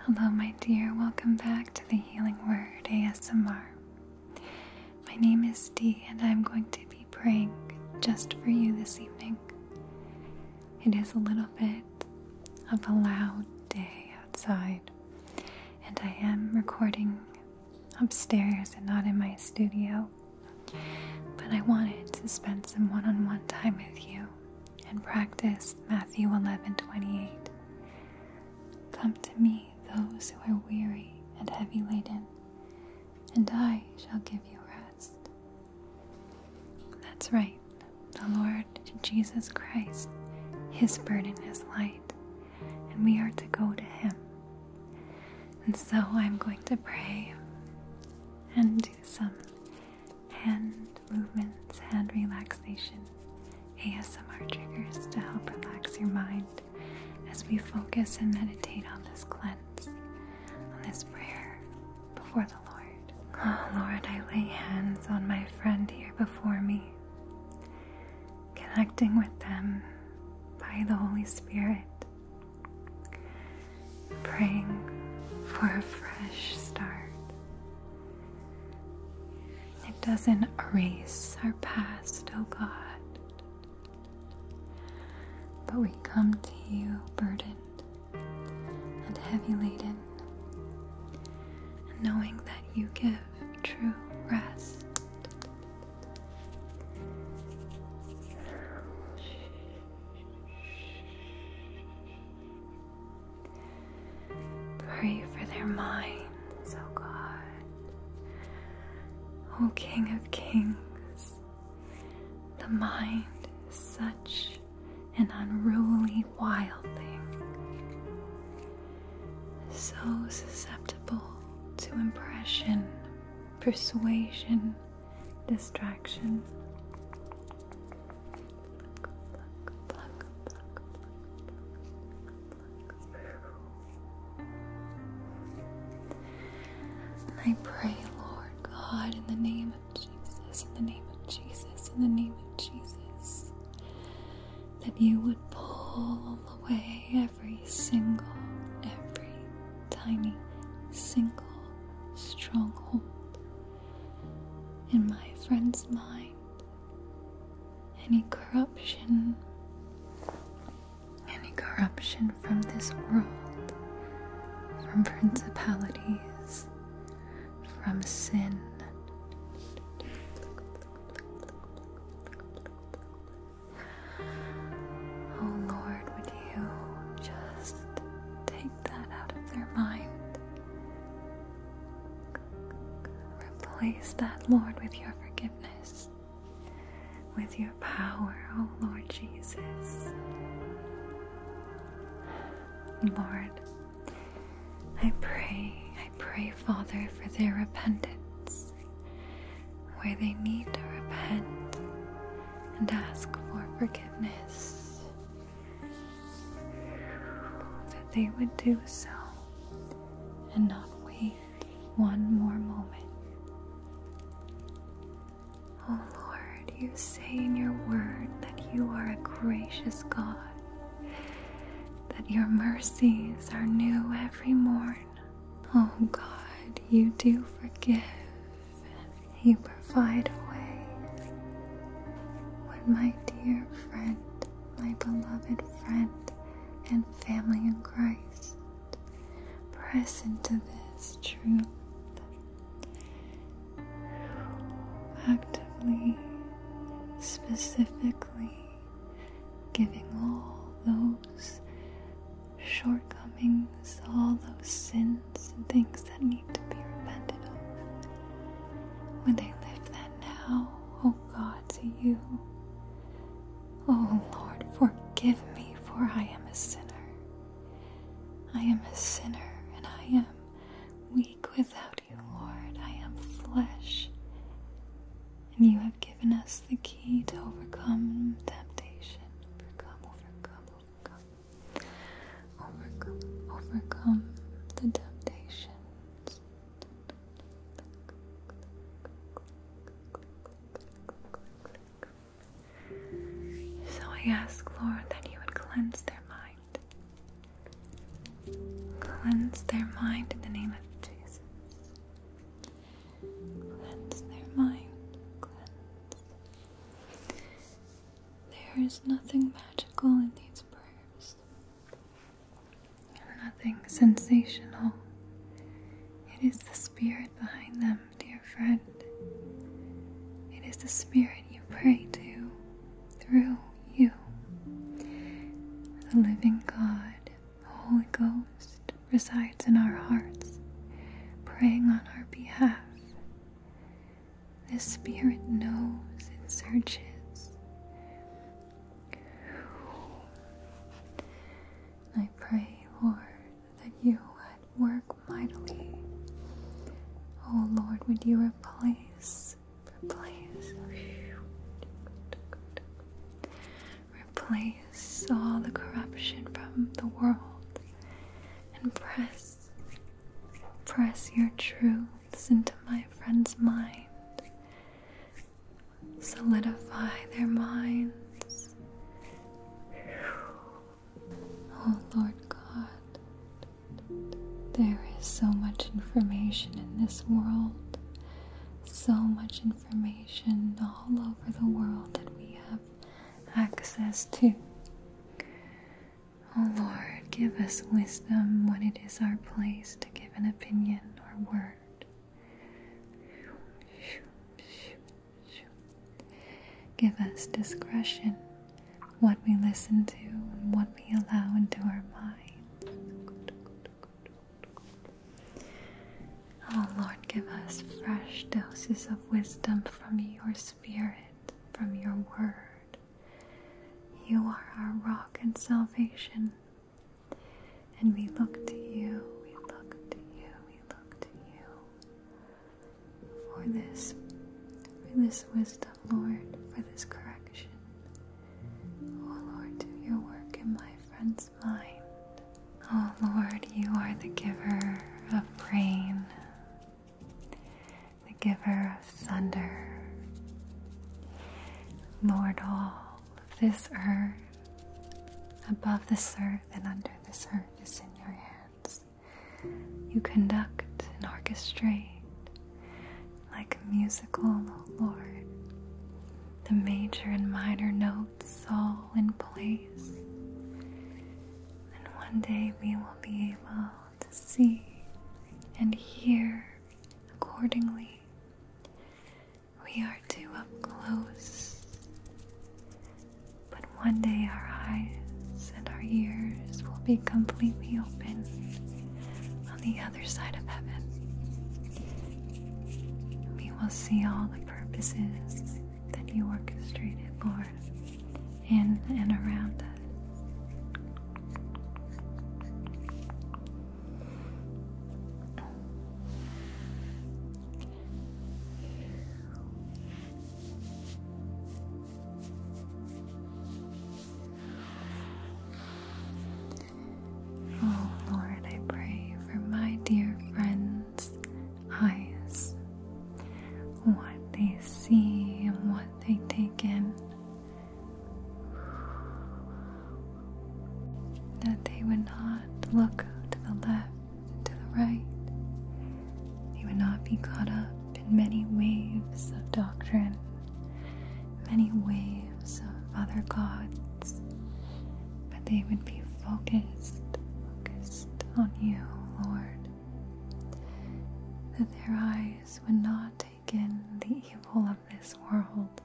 Hello, my dear. Welcome back to the Healing Word ASMR. My name is Dee, and I'm going to be praying just for you this evening. It is a little bit of a loud day outside, and I am recording upstairs and not in my studio, but I wanted to spend some one on one time with you and practice Matthew 11:28. Come to me, those who are weary and heavy laden, and I shall give you rest. That's right. The Lord Jesus Christ, his burden is light, and we are to go to him. And so I'm going to pray and do some hand soft movements and relaxation, ASMR triggers to help relax your mind as we focus and meditate on this cleanse, on this prayer before the Lord. Oh Lord, I lay hands on my friend here before me, connecting with them by the Holy Spirit, praying for a fresh start, it doesn't erase our past, O oh God. But we come to you burdened and heavy laden, knowing that you give true rest. Pray for their minds, O God. O King of Kings, the mind is such an unruly, wild thing, so susceptible to impression, persuasion, distraction. I pray, Lord God, in the name of Jesus, in the name of Jesus, in the name of Jesus, that you would pull away every single, every tiny, single stronghold in my friend's mind any corruption, any corruption from this world, from principalities, from sin. Oh Lord, would you just take that out of their mind? Replace that, Lord, with your forgiveness, with your power, O Lord Jesus. Lord, I pray, I pray, Father, for their repentance, where they need to repent and ask for forgiveness that they would do so and not wait one more moment. Oh Lord, you say in your word that you are a gracious God, that your mercies are new every morn. Oh God, you do forgive, you provide a way. When my dear friend my beloved friend and family in Christ. Press into this truth. Actively, specifically, giving all those shortcomings, all those sins and things that need to be repented of. When they live that now, O God, to you. O oh Lord, forgive me, for I am a sinner. I am a sinner, and I am weak without you, Lord. I am flesh, and you have given us the key to overcome temptation. Overcome, overcome, overcome. Overcome, overcome the temptation. So I ask, Lord, that you would cleanse their mind. Cleanse their mind in the name of Jesus. Cleanse their mind. There is nothing magical in these prayers nothing sensational. It is the spirit behind them, dear friend. It is the spirit you pray to through you. The living God, the Holy Ghost, resides in our hearts, praying on our behalf. The spirit knows it searches. I pray, Lord, that you would work mightily. Oh Lord, would you replace, replace, replace all the corruption from the world and press, press your truth thoughts into my friend's mind, solidify their minds. Oh Lord God, there is so much information in this world, so much information all over the world that we have access to. O oh Lord, give us wisdom when it is our place to give an opinion or word. Give us discretion, what we listen to and what we allow into our mind. Oh Lord, give us fresh doses of wisdom from your Spirit, from your Word. You are our rock and salvation. And we look to you, we look to you, we look to you for this, for this wisdom, Lord, for this correction. Oh Lord, do your work in my friend's mind. Oh Lord, you are the giver of rain the giver of thunder. Lord, all of this earth, above this earth and under this earth, is in your hands. You conduct and orchestrate like a musical, Lord, the major and minor notes all in place. And one day we will be able to see and hear accordingly. We are too up close, but one day our eyes and our ears will be completely open on the other side of heaven. We will see all the purposes that you orchestrated, Lord, in and around us. Oh Lord, I pray for my dear friends' eyes, what they see and what they take in, that they would not look to the left and to the right. They would not be caught up in many waves of doctrine, many waves of other gods, but they would be focused, focused on you, Lord. That their eyes would not again the evil of this world,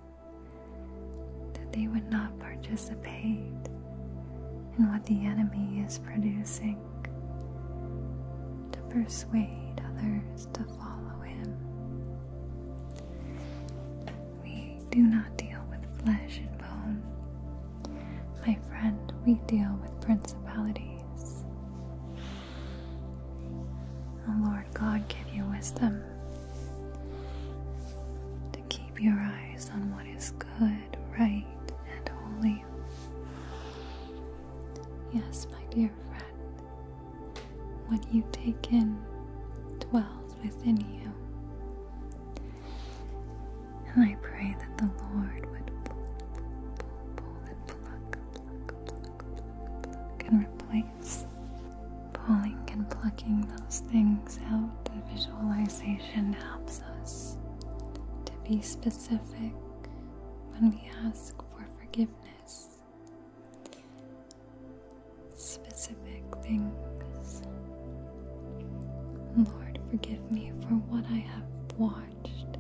that they would not participate in what the enemy is producing to persuade others to follow him. We do not deal with flesh and bone. My friend, we deal with principalities. Lord God, give you wisdom to keep your eyes on what is good, right, and holy. Yes, my dear friend, what you take in dwells within you. And I pray that the Lord would pull, and pluck, and replace pulling and plucking those things out. The visualization helps us to be specific when we ask for forgiveness. Specific things. Lord, forgive me for what I have watched.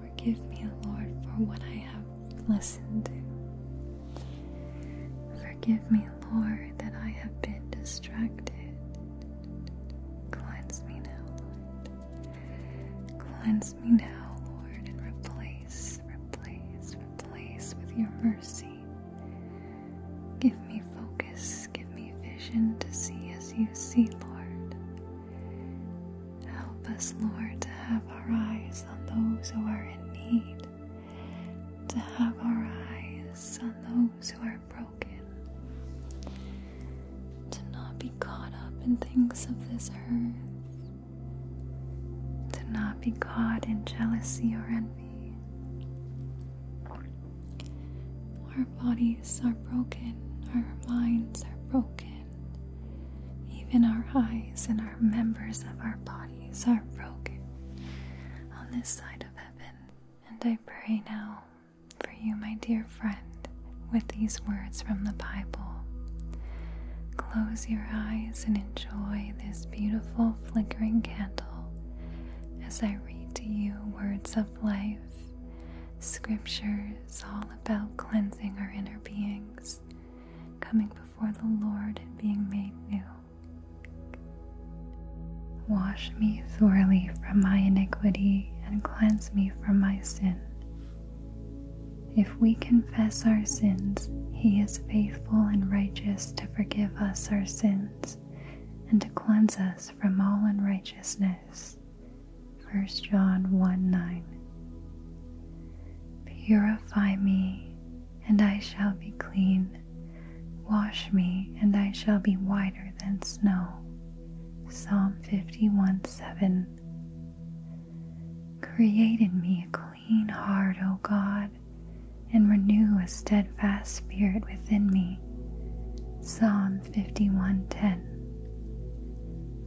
Forgive me, Lord, for what I have listen to. Forgive me, Lord, that I have been distracted. Cleanse me now, Lord. Cleanse me now, Lord, and replace, replace, replace with your mercy. Give me focus, give me vision to see as you see, Lord. Help us, Lord, to have our eyes on those who are in need, to have our eyes on those who are broken, to not be caught up in things of this earth, to not be caught in jealousy or envy. Our bodies are broken, our minds are broken. Even our eyes and our members of our bodies are broken on this side of heaven. And I pray now for you, my dear friend, with these words from the Bible. Close your eyes and enjoy this beautiful flickering candle as I read to you words of life, scriptures all about cleansing our inner beings coming before the Lord and being made new. Wash me thoroughly from my iniquity and cleanse me from my sin. If we confess our sins, He is faithful and righteous to forgive us our sins and to cleanse us from all unrighteousness. 1 John 1 9. Purify me, and I shall be clean. Wash me, and I shall be whiter than snow. Psalm 51 7. Create in me a clean heart, O God, and renew a steadfast spirit within me. Psalm 51:10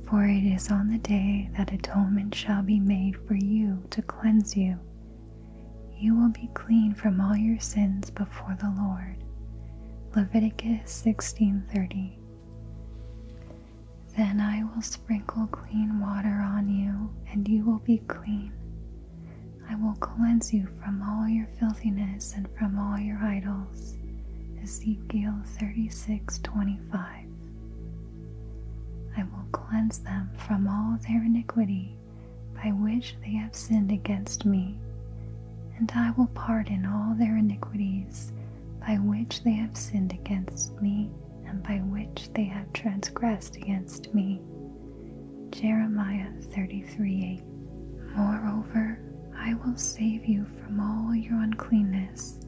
for it is on the day that atonement shall be made for you to cleanse you. You will be clean from all your sins before the Lord. Leviticus 16:30. Then I will sprinkle clean water on you, and you will be clean. I will cleanse you from all your filthiness and from all your idols. Ezekiel 36:25. I will cleanse them from all their iniquity by which they have sinned against me, and I will pardon all their iniquities by which they have sinned against me and by which they have transgressed against me. Jeremiah 33 8. Moreover, I will save you from all your uncleanness,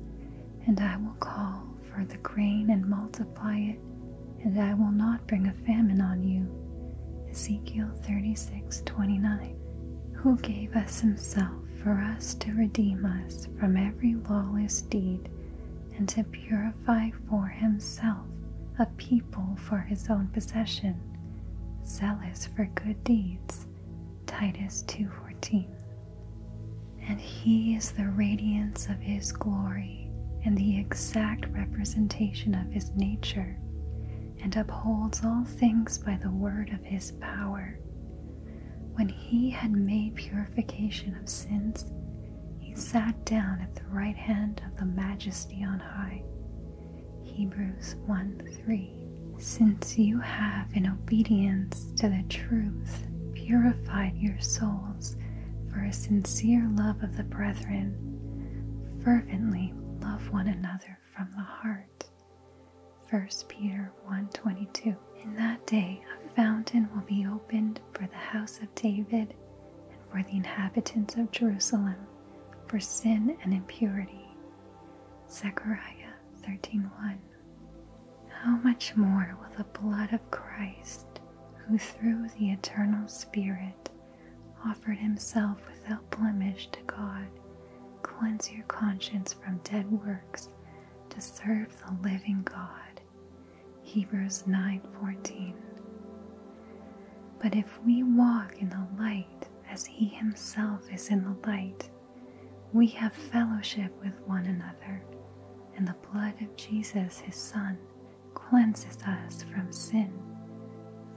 and I will call for the grain and multiply it, and I will not bring a famine on you. Ezekiel 36 29. Who gave us himself for us to redeem us from every lawless deed and to purify for himself a people for his own possession, zealous for good deeds. Titus 2:14 and he is the radiance of his glory and the exact representation of his nature, and upholds all things by the word of his power. When he had made purification of sins, he sat down at the right hand of the Majesty on high. Hebrews 1 3. Since you have, in obedience to the truth purified your souls for a sincere love of the brethren. Fervently love one another from the heart. 1 Peter 1:22. In that day a fountain will be opened for the house of David and for the inhabitants of Jerusalem for sin and impurity. Zechariah 13:1 how much more will the blood of Christ, who through the eternal Spirit offered himself without blemish to God, cleanse your conscience from dead works to serve the living God. Hebrews 9:14. But if we walk in the light as he himself is in the light, we have fellowship with one another, and the blood of Jesus, his Son, cleanses us from sin.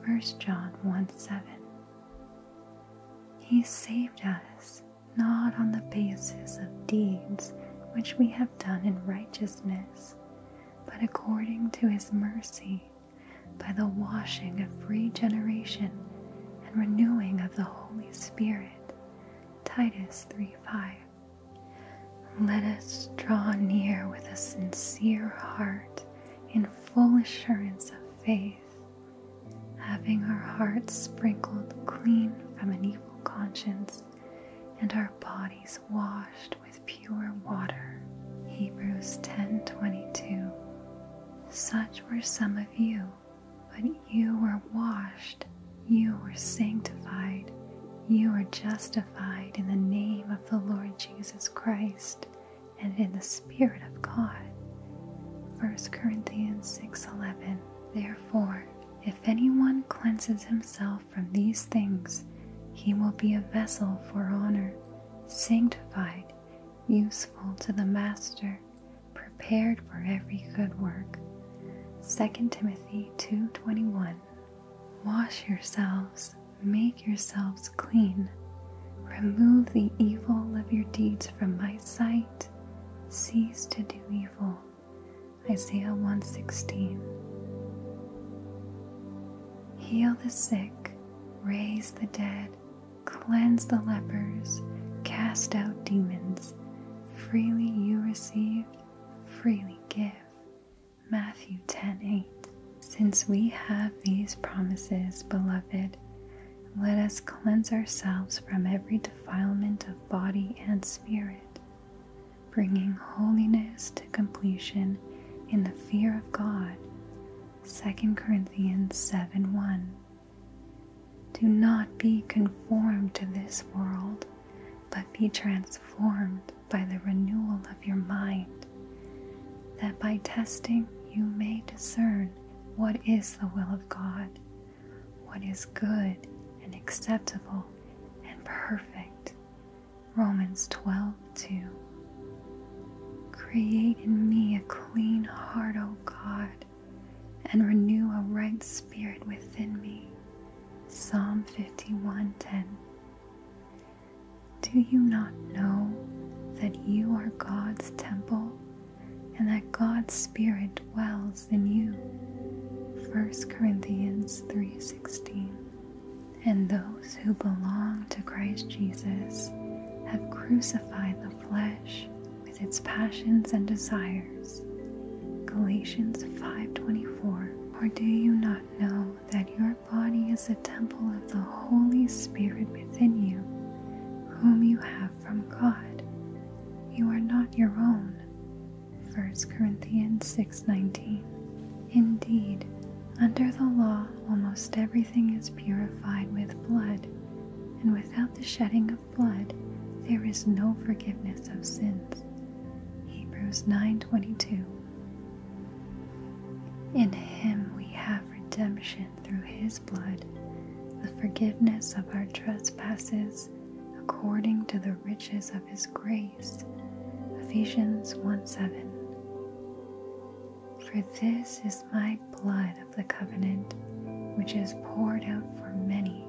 1 John 1 7. He saved us not on the basis of deeds which we have done in righteousness, but according to his mercy, by the washing of regeneration and renewing of the Holy Spirit Titus 3:5. Let us draw near with a sincere heart in full assurance of faith, having our hearts sprinkled clean from an evil conscience and our bodies washed with pure water. Hebrews 10:22. Such were some of you, but you were washed, you were sanctified, you were justified in the name of the Lord Jesus Christ and in the Spirit of God. 1 Corinthians 6:11 Therefore, if anyone cleanses himself from these things, he will be a vessel for honor, sanctified, useful to the master, prepared for every good work. 2 Timothy 2:21 Wash yourselves, make yourselves clean. Remove the evil of your deeds from my sight. Cease to do evil. Isaiah 1:16 Heal the sick, raise the dead, cleanse the lepers, cast out demons. Freely you receive, freely give. Matthew 10 8. Since we have these promises, beloved, let us cleanse ourselves from every defilement of body and spirit, bringing holiness to completion in the fear of God. 2 Corinthians 7 1. Do not be conformed to this world, but be transformed by the renewal of your mind, that by testing you may discern what is the will of God, what is good and acceptable and perfect. Romans 12 2. Create in me a clean heart, O God and renew a right spirit within me. Psalm 51:10. Do you not know that you are God's temple and that God's spirit dwells in you? 1 Corinthians 3:16. And those who belong to Christ Jesus have crucified the flesh with its passions and desires. Galatians 5:24 Or do you not know that your body is a temple of the Holy Spirit within you, whom you have from God? You are not your own. 1 Corinthians 6:19 Indeed, under the law almost everything is purified with blood, and without the shedding of blood, there is no forgiveness of sins. Hebrews 9:22. In him we have redemption through his blood, the forgiveness of our trespasses according to the riches of his grace. Ephesians one seven. For this is my blood of the covenant, which is poured out for many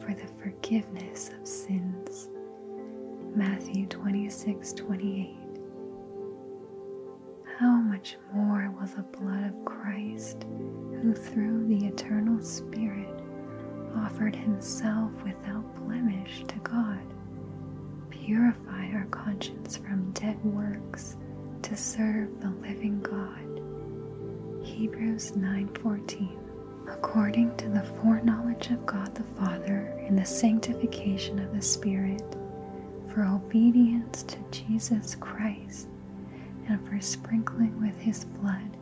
for the forgiveness of sins. Matthew 26 28. How much more will the blood of Christ, who through the eternal Spirit offered himself without blemish to God, purify our conscience from dead works to serve the living God? Hebrews 9:14 According to the foreknowledge of God the Father in the sanctification of the Spirit, for obedience to Jesus Christ and for sprinkling with his blood,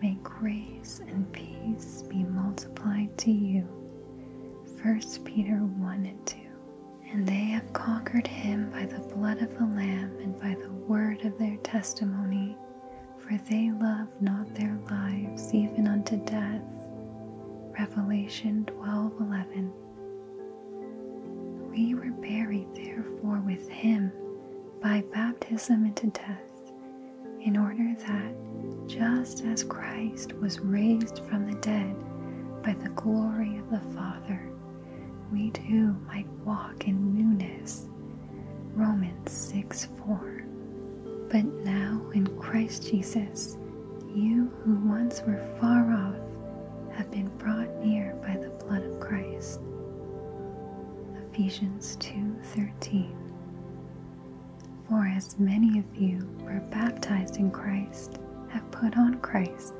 may grace and peace be multiplied to you. First Peter 1 and 2. And they have conquered him by the blood of the Lamb and by the word of their testimony, for they love not their lives even unto death. Revelation 12:11. We were buried therefore with him by baptism into death, in order that just as Christ was raised from the dead by the glory of the Father, we too might walk in newness. Romans 6 4. But now in Christ Jesus, you who once were far off have been brought near by the blood of Christ. Ephesians 2:13 For as many of you who were baptized in Christ have put on Christ.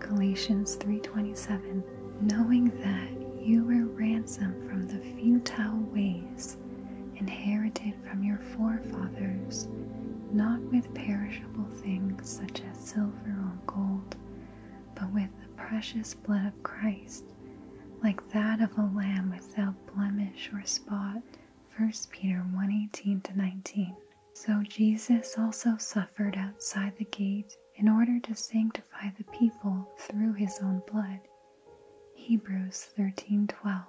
Galatians 3:27 knowing that you were ransomed from the futile ways inherited from your forefathers, not with perishable things such as silver or gold, but with the precious blood of Christ, like that of a lamb without blemish or spot. 1 Peter one18 19. So Jesus also suffered outside the gate in order to sanctify the people through his own blood. Hebrews 13:12.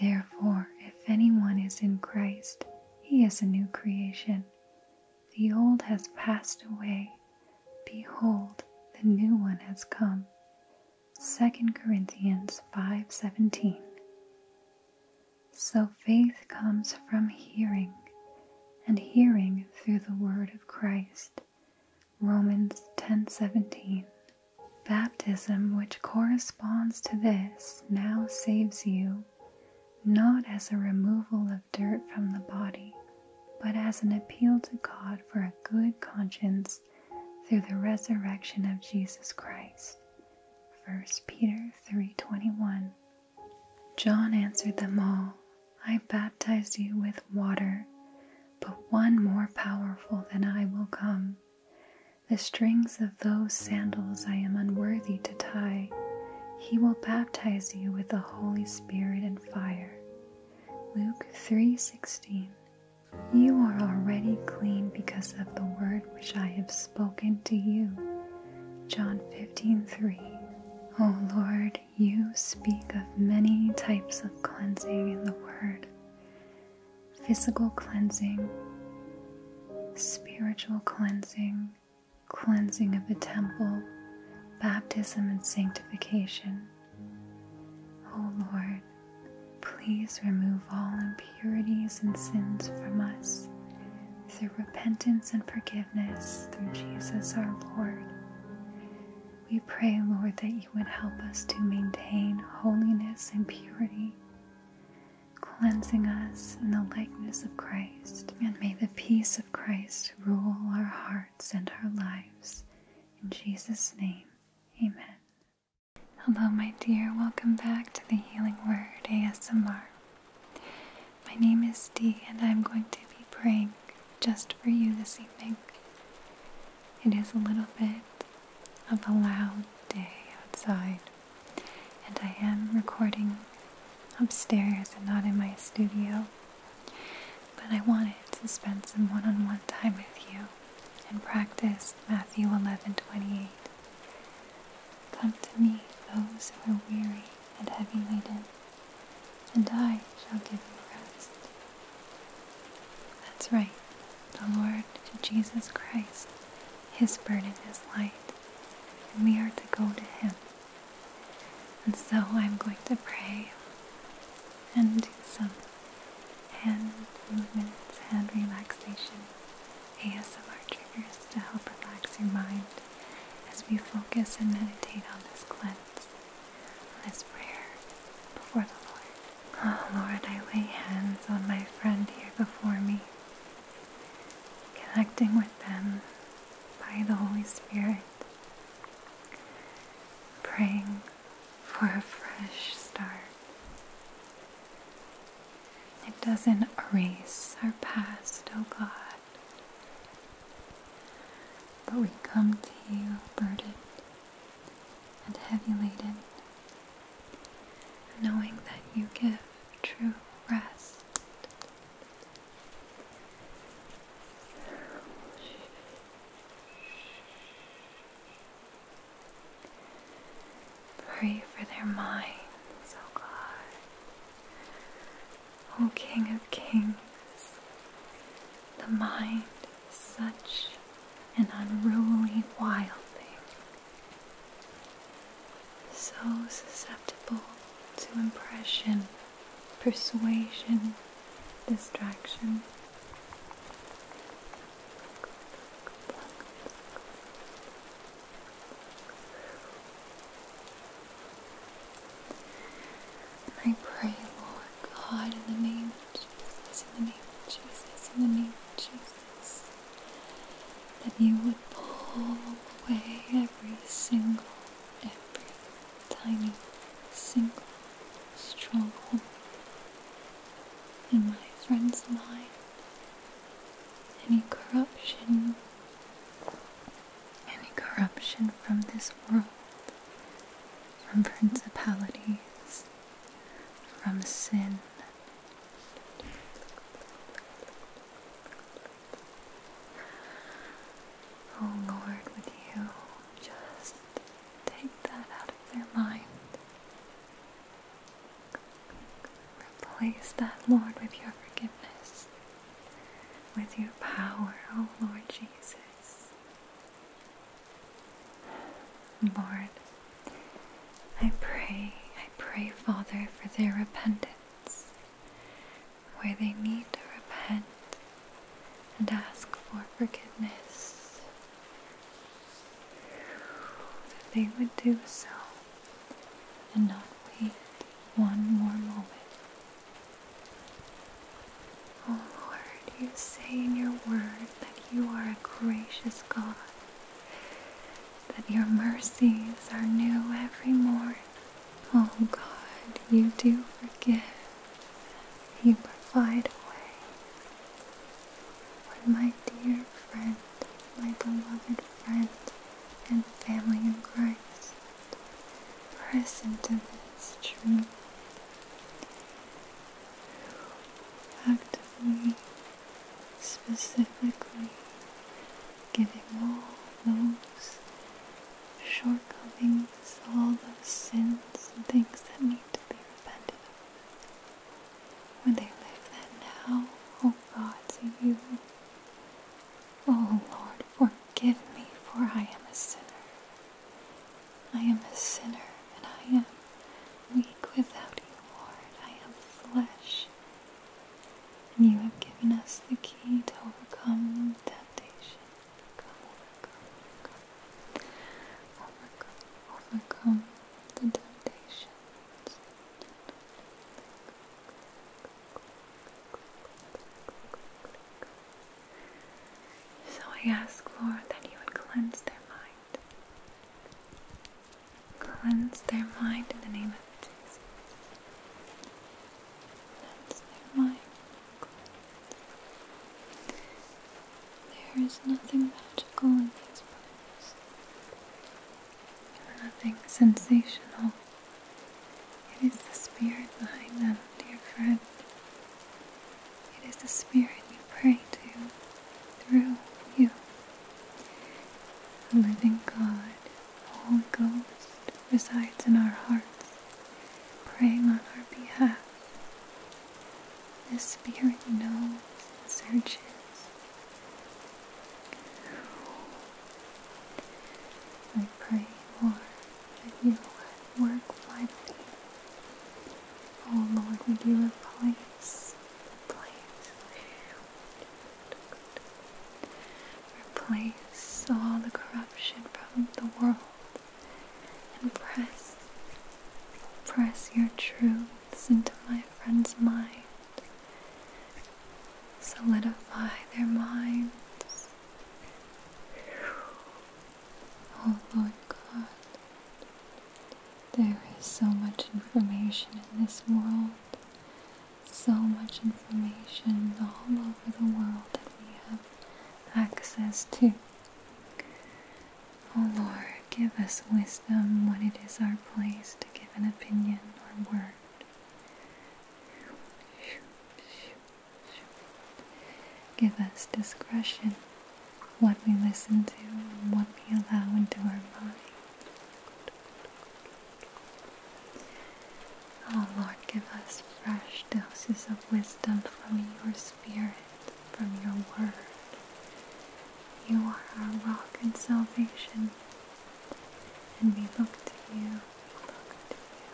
Therefore, if anyone is in Christ, he is a new creation. The old has passed away; behold, the new one has come. Second Corinthians 5:17. So faith comes from hearing, and hearing through the word of Christ. Romans 10:17. Baptism which corresponds to this now saves you, not as a removal of dirt from the body, but as an appeal to God for a good conscience through the resurrection of Jesus Christ. 1 Peter 3:21 John answered them all, I baptize you with water, but one more powerful than I will come. The strings of those sandals I am unworthy to tie. He will baptize you with the Holy Spirit and fire. Luke 3:16 You are already clean because of the word which I have spoken to you. John 15:3 O Lord, you speak of many types of cleansing in the Word physical cleansing, spiritual cleansing, cleansing of the temple, baptism and sanctification. O oh Lord, please remove all impurities and sins from us through repentance and forgiveness through Jesus our Lord. We pray, Lord, that you would help us to maintain holiness and purity, cleansing us in the likeness of Christ. And may the peace of Christ rule our hearts and our lives. In Jesus' name, amen. Hello, my dear. Welcome back to the Healing Word ASMR. My name is Dee, and I'm going to be praying just for you this evening. It is a little bit of a loud day outside, and I am recording upstairs and not in my studio. But I wanted to spend some one-on-one time with you and practice Matthew 11:28. Come to me, those who are weary and heavy laden, and I shall give you rest. That's right, the Lord Jesus Christ, his burden is light, and we are to go to him. And so I'm going to pray and do some hand movements, hand relaxation, ASMR triggers to help relax your mind as we focus and meditate on this cleanse this prayer before the Lord. Oh Lord, I lay hands on my friend here before me, connecting with them by the Holy Spirit, praying for a fresh start. It doesn't erase our past, oh God. But we come to you burdened and heavy laden, knowing that you give true rest. Pray for their minds, oh God. O King of Kings, the mind is such an unruly, wild thing, so susceptible to impression, persuasion, distraction. I pray, Lord God, in the name of Jesus, in the name of Jesus, in the name of Jesus, that you would pull away every single, every tiny, single stronghold in my friend's mind, any corruption, any corruption from this world, from principalities, from sin. Oh Lord, with you, just take that out of their mind. Replace that, Lord, with your forgiveness with your power, O Lord Jesus. Lord, I pray, I pray, Father, for their repentance, where they need to repent and ask for forgiveness, that they would do so and not wait one more moment O oh Lord, you say in your word that you are a gracious God, that your mercies are new every morn. Oh God, you do forgive. You provide a way. When my dear friend, my beloved friend and family in Christ present of its true actively, specifically giving all those shortcomings, all those sins and things that need to be repented of. When they live that now, oh God, to you. Oh Lord, Forgive me, for I am a sinner. I am a sinner, and I am weak without you, Lord. I am flesh. And you have given us the key to overcome temptation. Overcome, overcome, overcome, overcome the temptation. So I ask, Lord, that you would cleanse their mind. Cleanse their mind in the name of Jesus. Cleanse their mind. There is nothing magical in these words. Nothing sensational it is the spirit behind them, dear friend. It is the spirit you pray to through you. The living God, Holy Ghost, resides in our hearts, praying on our behalf. The spirit knows and searches. I pray, Lord, that you would work mightily. Oh Lord, would you replace, replace, replace all the corruption from the world and press, press your truths into my friend's mind. Solidify their minds Oh Lord God, there is so much information in this world, so much information all over the world that we have access to. Oh Lord, give us wisdom when it is our place to give an opinion or word. Give us discretion what we listen to and what we allow into our mind. Oh Lord, give us fresh doses of wisdom from your Spirit, from your Word. You are our rock and salvation, and we look to you look to you, look to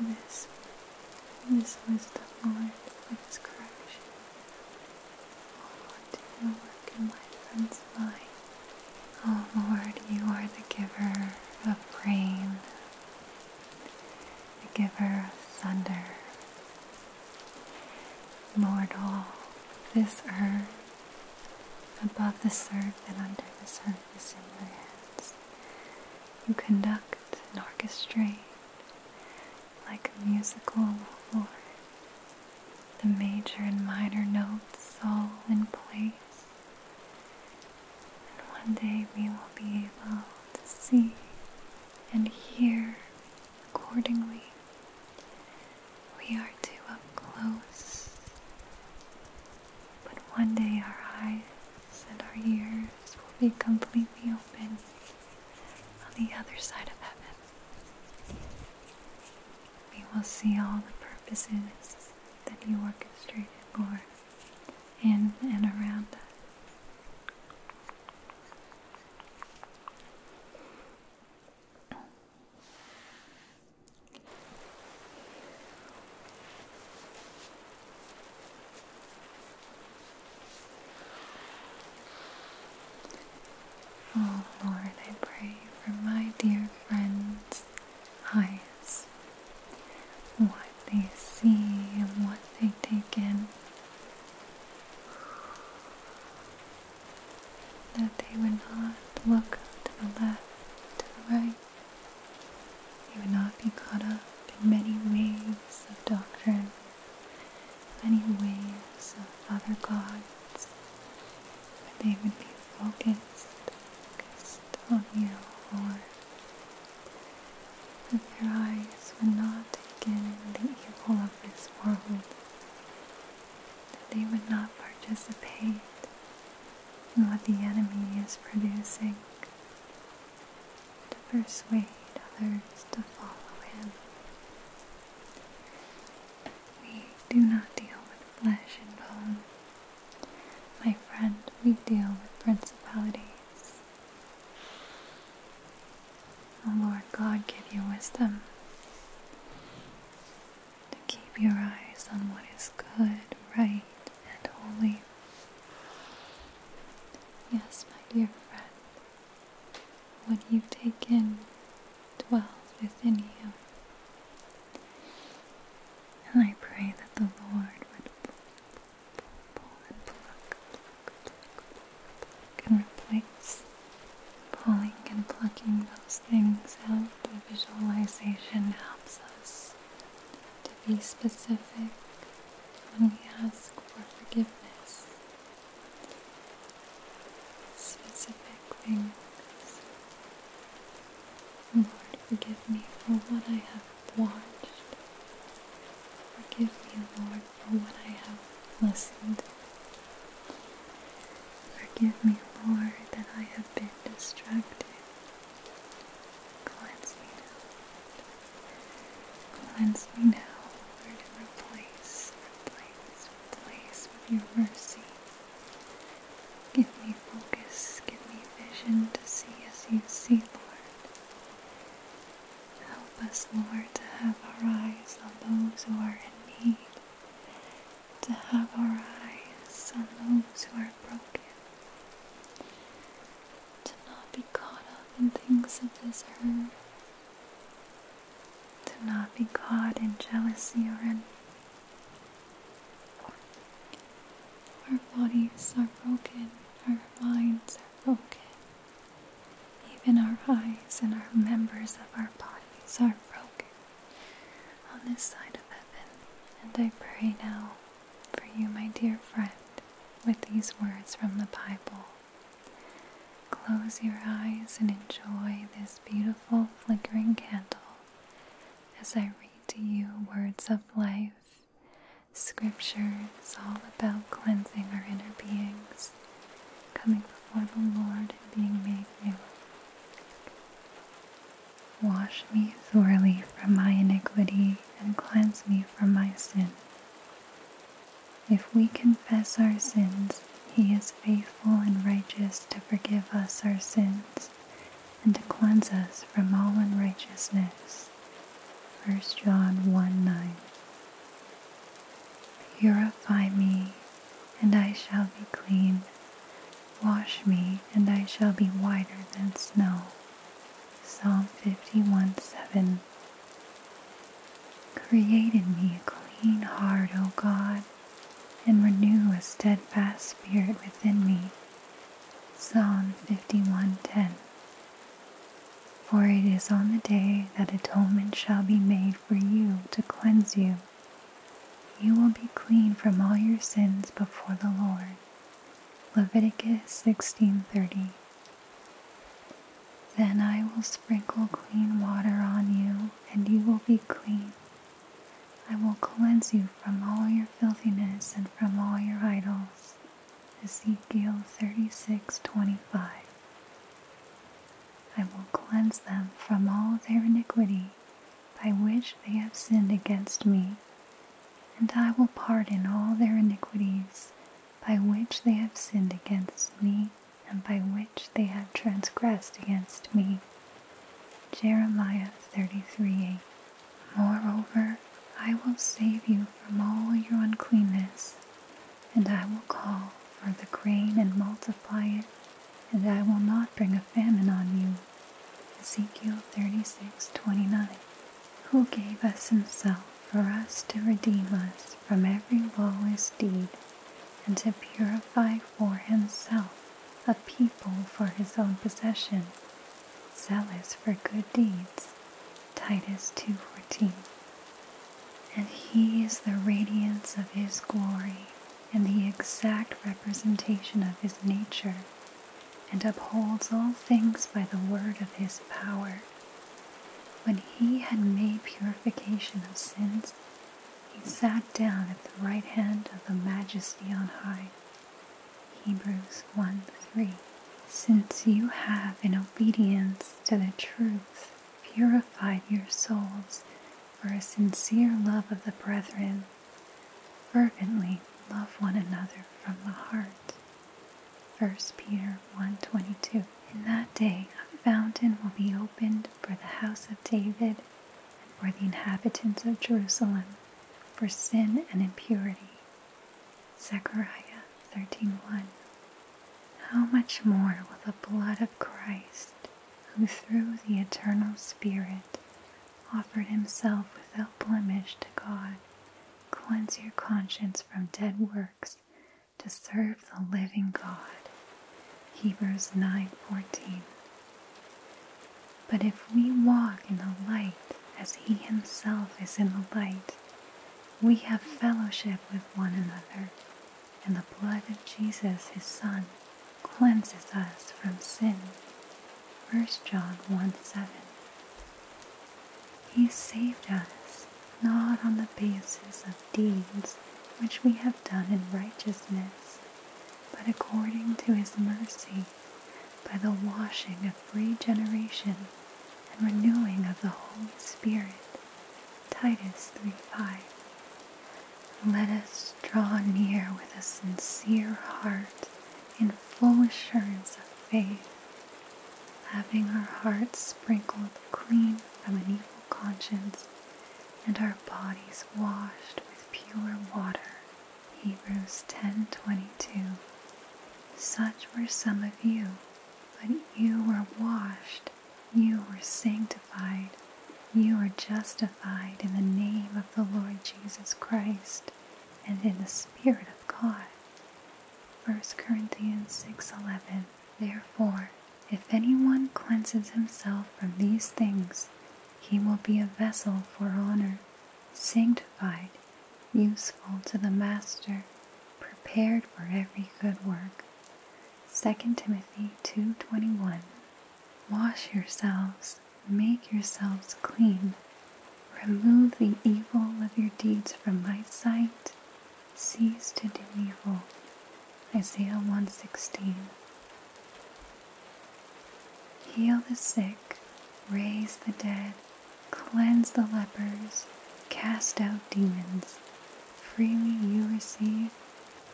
you. For this, for this wisdom, Lord, for this correction. Oh Lord, work in my friend's mind. Oh Lord, you are the giver of rain, the giver of thunder. Lord, all this earth, above the earth and under the sun is in your You conduct an orchestra. like a musical lord. The major and minor notes all in place. And one day we will be able to see and hear accordingly. We are too up close but one day our eyes and our ears will be completely open on the other side of heaven. We will see all the purposes that you orchestrated, for, in and around us. Oh Lord, I pray for my dear friends' eyes, what they see and what they take in, that they would not look to the left, to the right. They would not be caught up in many waves of doctrine, many waves of other gods, but they would be focused, focused on you, Lord. their eyes would not take in the evil of this world, they would not participate and what the enemy is producing to persuade others to follow him. We do not deal with flesh and bone. My friend, we deal with principalities. O Lord God, give you wisdom to keep your eyes on what is good, right, and holy. Yes, my dear friend, what you have taken dwells within you. And I pray that the Lord would pull and pluck, pluck, pluck, pluck, and replace pulling and plucking those things out. The visualization helps us to be specific when we ask for forgiveness. Specific things. Lord, forgive me for what I have watched. Forgive me, Lord, for what I have blessed. Forgive me, Lord, that I have been distracted Cleanse me now. Cleanse me now, Lord, replace, replace, replace with your mercy. Give me focus, give me vision to see as you see, Lord. Help us, Lord, to have our eyes on those who are in need to have our eyes on those who are broken, to not be caught up in things of this earth, to not be caught in jealousy or envy. Our bodies are broken, our minds are broken. Even our eyes and our members of our bodies are broken on this side of heaven, and I pray now for you, my dear friend, with these words from the Bible. Close your eyes and enjoy this beautiful flickering candle as I read to you words of life, scriptures all about cleansing our inner beings, coming before the Lord and being made new. Wash me thoroughly from my iniquity and cleanse me from my sin. If we confess our sins, He is faithful and righteous to forgive us our sins and to cleanse us from all unrighteousness. First John 1 9. Purify me, and I shall be clean. Wash me, and I shall be whiter than snow. Psalm 51 7. Create in me a clean heart, O God, and renew a steadfast spirit within me. Psalm 51:10. For it is on the day that atonement shall be made for you to cleanse you. You will be clean from all your sins before the Lord. Leviticus 16:30 Then I will sprinkle clean water on you and you will be clean I will cleanse you from all your filthiness and from all your idols Ezekiel 36:25 I will cleanse them from all their iniquity by which they have sinned against me, and I will pardon all their iniquities by which they have sinned against me, and by which they have transgressed against me. Jeremiah 33 8. Moreover, I will save you from all your uncleanness, and I will call for the grain and multiply it, and I will not bring a famine on you Ezekiel 36:29, who gave us himself for us to redeem us from every lawless deed and to purify for himself a people for his own possession, zealous for good deeds. Titus 2:14. And he is the radiance of his glory and the exact representation of his nature and upholds all things by the word of his power. When he had made purification of sins, he sat down at the right hand of the majesty on high. Hebrews 1 3. Since you have, in obedience to the truth, purified your souls for a sincere love of the brethren, fervently love one another from the heart. 1 Peter 1.22 In that day a fountain will be opened for the house of David and for the inhabitants of Jerusalem for sin and impurity. Zechariah 13.1 How much more will the blood of Christ, who through the eternal Spirit offered himself without blemish to God. Cleanse your conscience from dead works to serve the living God. Hebrews 9:14. But if we walk in the light as he himself is in the light, we have fellowship with one another, and the blood of Jesus, his Son, cleanses us from sin. First John 1 7. He saved us not on the basis of deeds which we have done in righteousness, but according to his mercy by the washing of regeneration and renewing of the Holy Spirit. Titus 3 5. Let us draw near with a sincere heart in full assurance of faith, having our hearts sprinkled clean from an evil conscience and our bodies washed with pure water. Hebrews 10:22 Such were some of you, but you were washed, you were sanctified, you were justified in the name of the Lord Jesus Christ and in the Spirit of God. 1 Corinthians 6.11 Therefore, if anyone cleanses himself from these things, he will be a vessel for honor, sanctified, useful to the Master, prepared for every good work. 2 Timothy 2.21 Wash yourselves Make yourselves clean. Remove the evil of your deeds from my sight. Cease to do evil. Isaiah one sixteen. Heal the sick, raise the dead, cleanse the lepers, cast out demons. Freely you receive,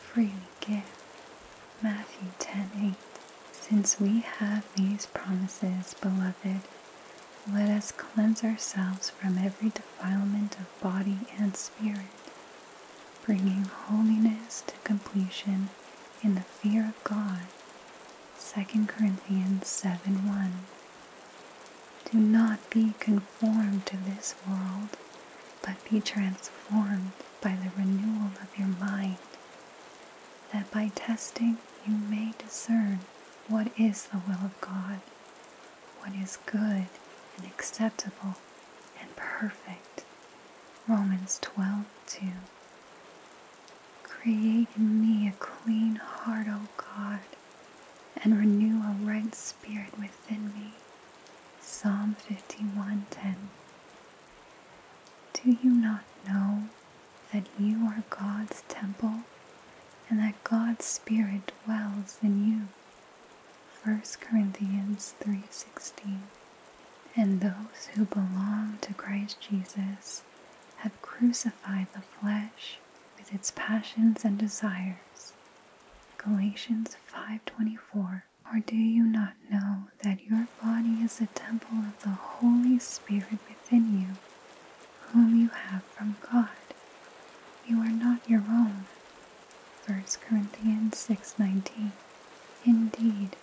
freely give. Matthew 10:8 Since we have these promises, beloved, let us cleanse ourselves from every defilement of body and spirit, bringing holiness to completion in the fear of God. 2 Corinthians 7:1 Do not be conformed to this world, but be transformed by the renewal of your mind that by testing you may discern what is the will of God, what is good and acceptable and perfect. Romans 12 2. Create in me a clean heart, O God, and renew a right spirit within me. Psalm 51:10. Do you not know that you are God's temple and that God's Spirit dwells in you. 1 Corinthians 3:16 And those who belong to Christ Jesus have crucified the flesh with its passions and desires. Galatians 5:24 Or do you not know that your body is a temple of the Holy Spirit within you, whom you have from God. You are not your own. 1 Corinthians 6:19. Indeed,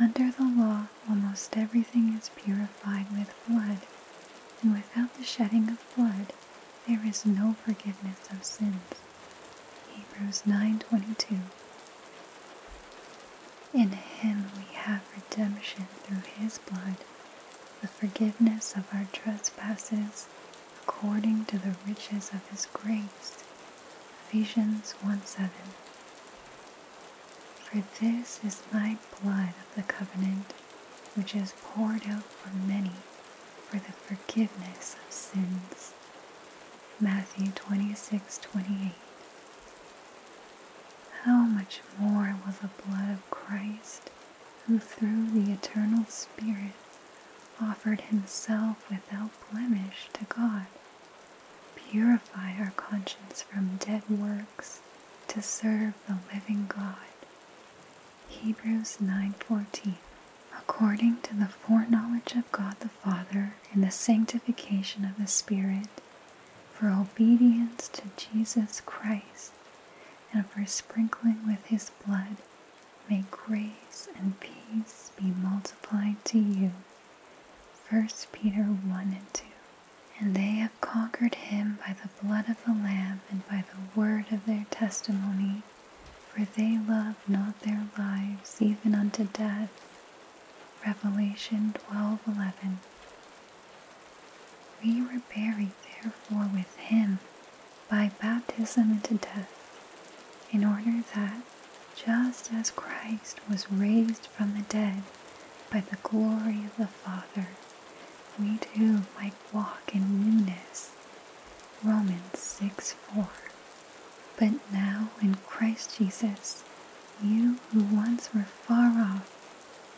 under the law almost everything is purified with blood, and without the shedding of blood there is no forgiveness of sins. Hebrews 9:22. In him we have redemption through his blood, the forgiveness of our trespasses according to the riches of his grace. Ephesians 1 7. For this is my blood of the covenant, which is poured out for many for the forgiveness of sins. Matthew 26 28 how much more was the blood of Christ, who through the eternal Spirit offered himself without blemish to God, purify our conscience from dead works to serve the living God. Hebrews 9:14 According to the foreknowledge of God the Father in the sanctification of the Spirit, for obedience to Jesus Christ, and for sprinkling with his blood, may grace and peace be multiplied to you. First Peter 1 and 2. And they have conquered him by the blood of the Lamb and by the word of their testimony, for they loved not their lives even unto death. Revelation 12:11 We were buried therefore with him by baptism into death in order that just as Christ was raised from the dead by the glory of the Father we too might walk in newness. Romans 6 4. But now in Christ Jesus, you who once were far off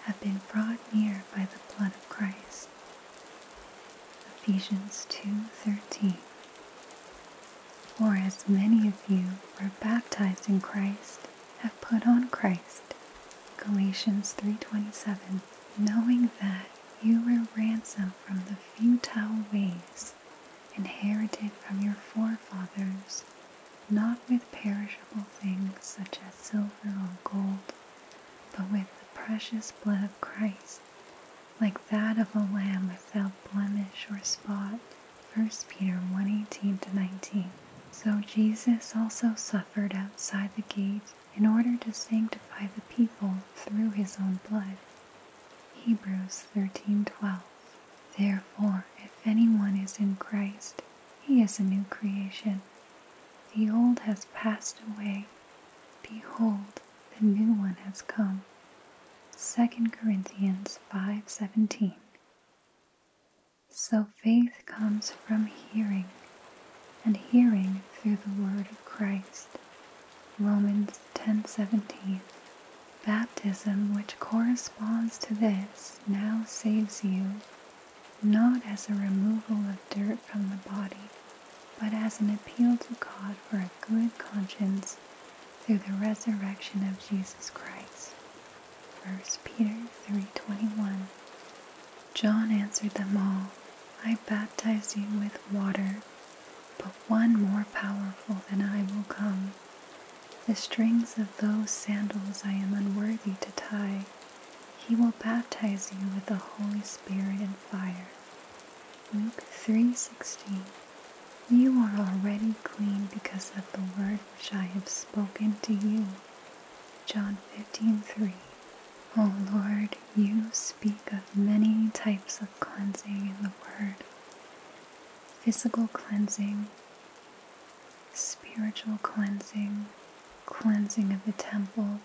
have been brought near by the blood of Christ. Ephesians 2:13 For as many of you were baptized in Christ have put on Christ. Galatians 3:27 Knowing that you were ransomed from the futile ways inherited from your forefathers not with perishable things such as silver or gold, but with the precious blood of Christ, like that of a lamb without blemish or spot. 1 Peter one18 18-19 So Jesus also suffered outside the gate in order to sanctify the people through his own blood. Hebrews 13:12 Therefore, if anyone is in Christ, he is a new creation. The old has passed away. Behold, the new one has come. Second Corinthians 5:17 So faith comes from hearing and hearing through the word of Christ. Romans 10:17 Baptism, which corresponds to this, now saves you, not as a removal of dirt from the body, but as an appeal to God for a good conscience through the resurrection of Jesus Christ. 1 Peter 3.21 John answered them all, I baptize you with water, but one more powerful than I will come the strings of those sandals I am unworthy to tie. He will baptize you with the Holy Spirit and fire. Luke 3:16 You are already clean because of the word which I have spoken to you. John 15:3 O Lord, you speak of many types of cleansing in the word. Physical cleansing, spiritual cleansing, cleansing of the temple,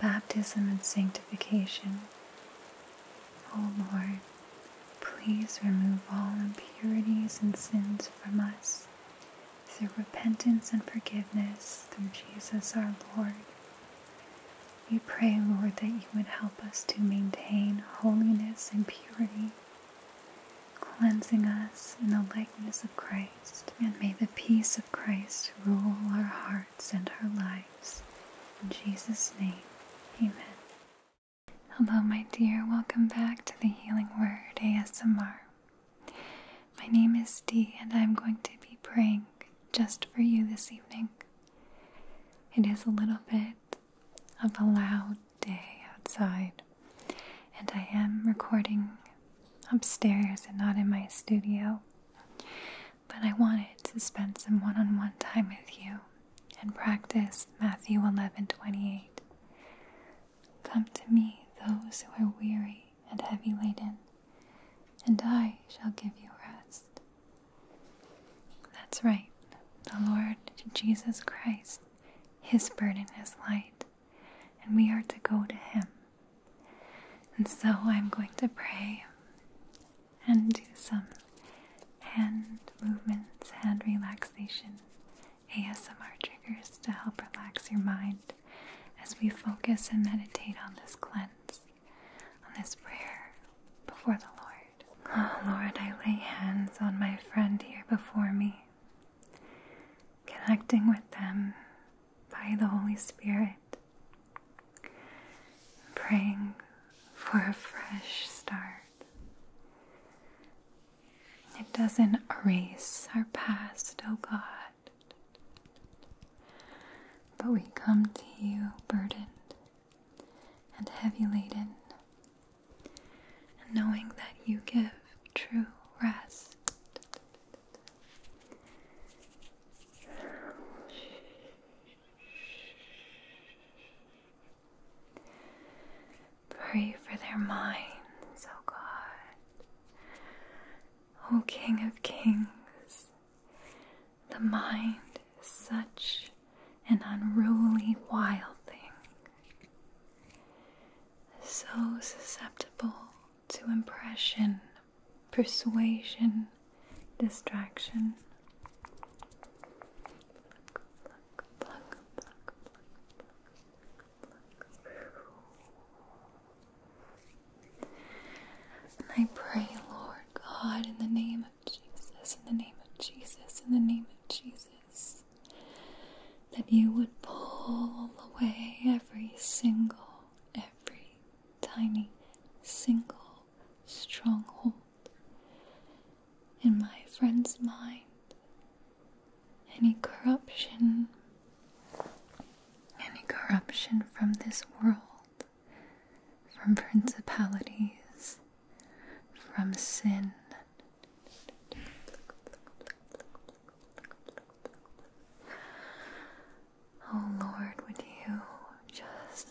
baptism and sanctification. O Lord, please remove all impurities and sins from us through repentance and forgiveness through Jesus our Lord. We pray, Lord, that you would help us to maintain holiness and purity cleansing us in the likeness of Christ. And may the peace of Christ rule our hearts and our lives. In Jesus' name, amen. Hello, my dear. Welcome back to the Healing Word ASMR. My name is Dee, and I'm going to be praying just for you this evening. It is a little bit of a loud day outside, and I am recording upstairs and not in my studio. But I wanted to spend some one on one time with you and practice Matthew 11 28. Come to me, those who are weary and heavy laden, and I shall give you rest. That's right, the Lord Jesus Christ his burden is light, and we are to go to Him. And so I'm going to pray and do some hand movements, hand relaxation, ASMR triggers to help relax your mind as we focus and meditate on this cleanse, on this prayer before the Lord. Oh Lord, I lay hands on my friend here before me, connecting with them by the Holy Spirit, praying for a fresh start. It doesn't erase our past, oh God. But we come to you burdened and heavy laden and knowing that you give true rest. Pray for their minds, O God. O King of Kings, the mind is such an unruly wild thing, so susceptible to impression, persuasion, distraction. And I pray, Lord God, in the name of Jesus, in the name of Jesus, in the name of Jesus, that you would pull away every single, every tiny, single stronghold in my friend's mind, any corruption, any corruption from this world, from principalities, from sin. Oh Lord, would you just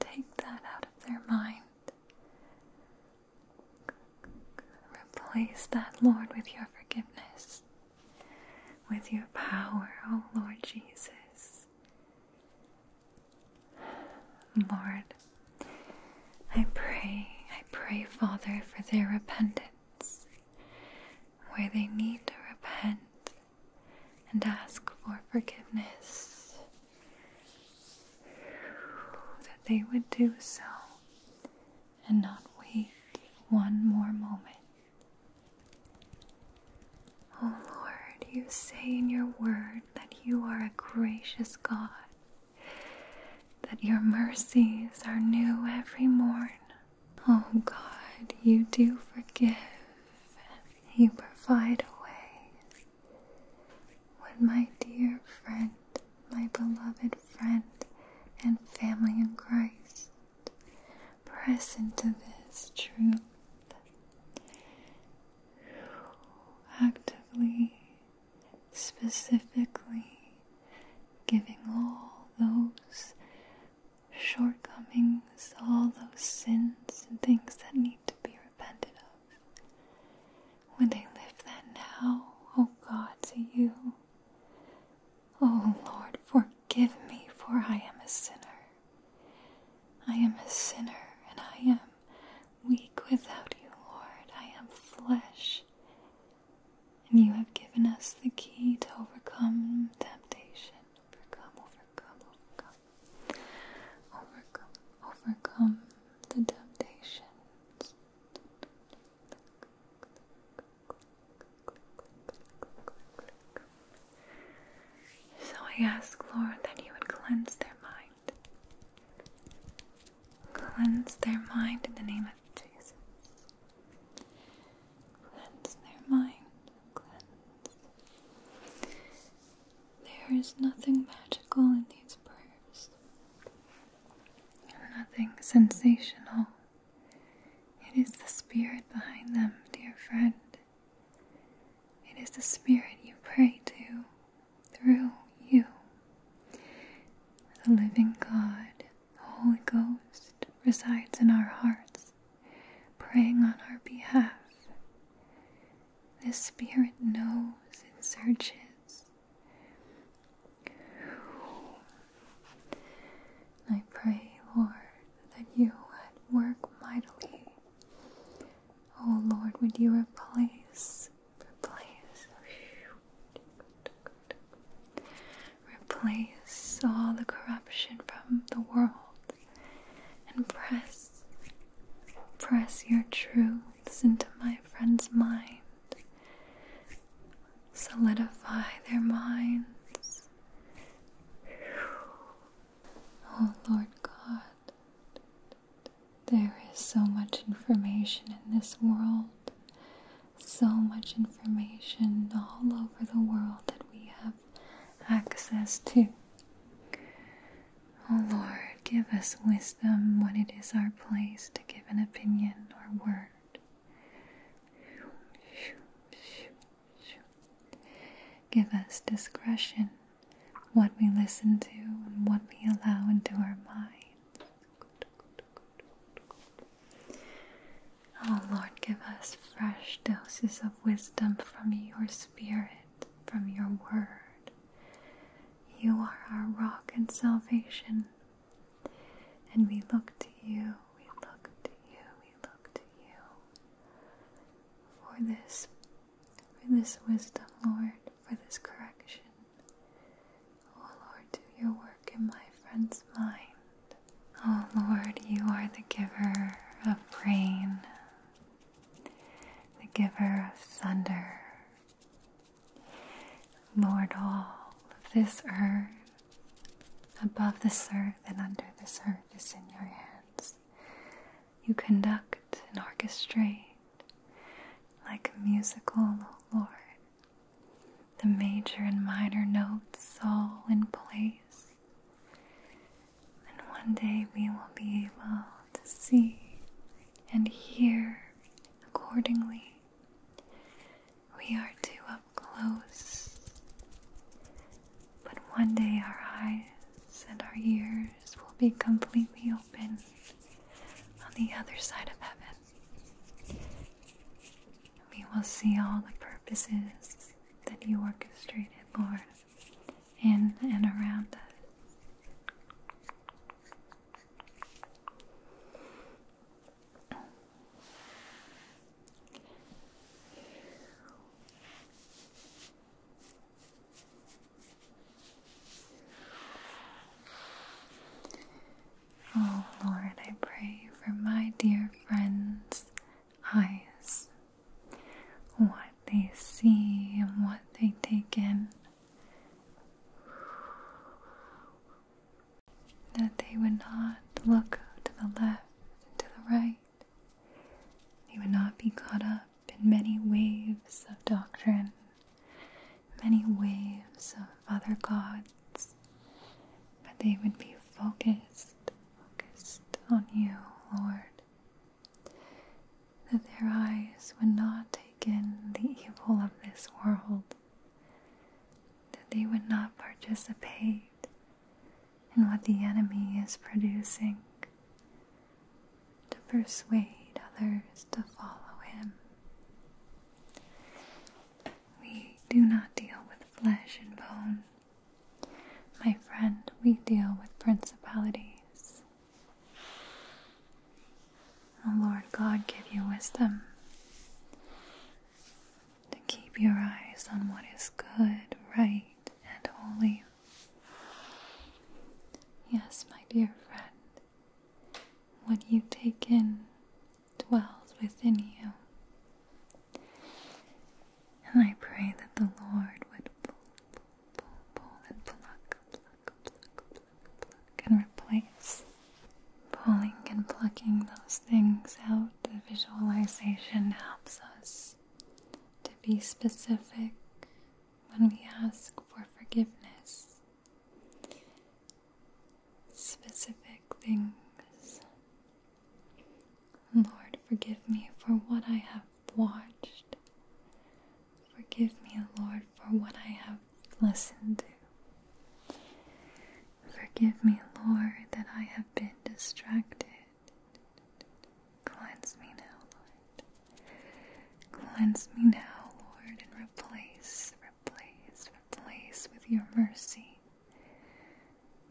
take that out of their mind? Replace that, Lord, with your forgiveness, with your power, oh Lord Jesus. Lord, I pray, I pray, Father, for their repentance, where they need to repent and ask for forgiveness, that they would do so and not wait one more moment. Oh Lord, you say in your word that you are a gracious God that your mercies are new every morn. Oh God, you do forgive. You provide a way. When my dear friend, my beloved friend, and family in Christ press into this truth, actively specifically giving all those shortcomings, all those sins and things that need to be repented of. When they live that now, O oh God, to you. O oh Lord, forgive me, for I am a sinner. I am a sinner, and I am am weak without you, Lord. I am flesh. And you have given us the key to overcome temptation. Overcome, overcome, overcome. Overcome, overcome the temptations. So I ask, Lord, that you would cleanse their mind. Cleanse their mind in the name of Jesus. Cleanse their mind. Cleanse. There is nothing magical in these prayers, nothing sensational. It is the spirit behind them, dear friend. It is the spirit you pray to through you. The living God, the Holy Ghost, resides in our hearts, praying on our behalf. This Spirit knows it searches. I pray, Lord, that you would work mightily. Oh Lord, would you replace Replace. Replace all the corruption from the world and press, press your truths into my friend's mind. Solidify their minds. Oh Lord God, there is so much information in this world, so much information all over the world that we have access to. Oh Lord, give us wisdom when it is our place to give an opinion or word. Give us discretion, what we listen to and what we allow into our mind. Oh Lord, give us fresh doses of wisdom from your Spirit, from your Word. You are our rock and salvation, and we look to you, we look to you, we look to you for this, for this wisdom, Lord for this correction. O oh, Lord, do your work in my friend's mind. O oh, Lord, you are the giver of rain, the giver of thunder. Lord, all of this earth, above this earth and under this earth, is in your hands. You conduct and orchestrate like a musical lord, the major and minor notes all in place. And one day we will be able to see and hear accordingly. We are too up close, but one day our eyes and our ears will be completely open on the other side of heaven. We will see all the purposes that you orchestrated, Lord, in and around us. Oh Lord, I pray for my dear friends' eyes, what they see and what they take in, that they would not look to the left and to the right. They would not be caught up in many waves of doctrine many waves of other gods, but they would be focused, focused on you, Lord, that their eyes would not take in the evil of this world, that they would not participate in what the enemy is producing to persuade others to follow him. We do not deal with flesh and bone. My friend, we deal with principalities. O Lord God, give you wisdom to keep your eyes on what is good, right, and holy. Yes, my dear friend, what you take in dwells within you. And I pray that the Lord would pull, pull, pull, pull, and pluck, pluck, pluck, pluck, pluck, and replace. Pulling and plucking those things out, the visualization helps us to be specific when we ask for forgiveness specific things. Lord, forgive me for what I have watched. Forgive me, Lord, for what I have listened to. Forgive me, Lord, that I have been distracted. Cleanse me now, Lord. Cleanse me now, Lord, and replace, Place, replace with your mercy.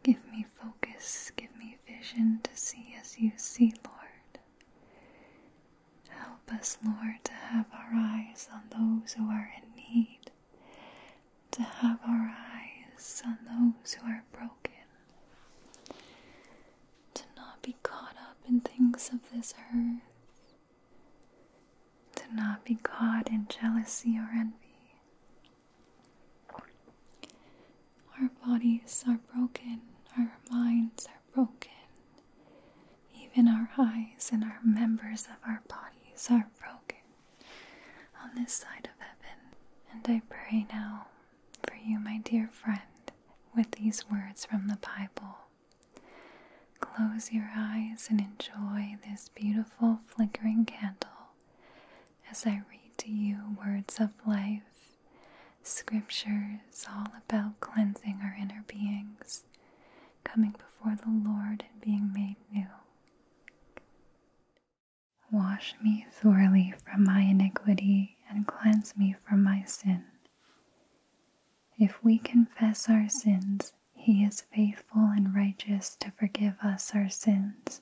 Give me focus, give me vision to see as you see, Lord. Help us, Lord, to have our eyes on those who are in need, to have our eyes on those who are broken, to not be caught up in things of this earth, to not be caught in jealousy or envy. Our bodies are broken, our minds are broken, even our eyes and our members of our bodies are broken on this side of heaven. And I pray now for you, my dear friend, with these words from the Bible Close your eyes and enjoy this beautiful flickering candle as I read to you words of life, scriptures all about cleansing our inner beings, coming before the Lord and being made new. Wash me thoroughly from my iniquity and cleanse me from my sin. If we confess our sins, he is faithful and righteous to forgive us our sins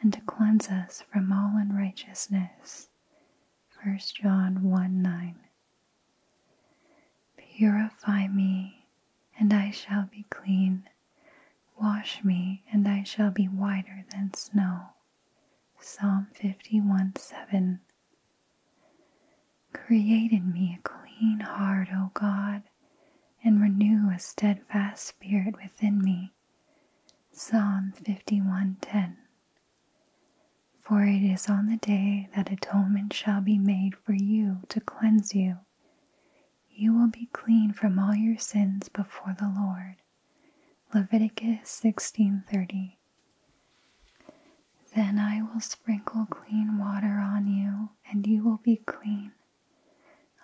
and to cleanse us from all unrighteousness. 1 John 1 9. Purify me, and I shall be clean. Wash me, and I shall be whiter than snow. Psalm 51 7. Create in me a clean heart, O God, and renew a steadfast spirit within me. Psalm 51:10. For it is on the day that atonement shall be made for you to cleanse you. You will be clean from all your sins before the Lord. Leviticus 16:30. Then I will sprinkle clean water on you, and you will be clean.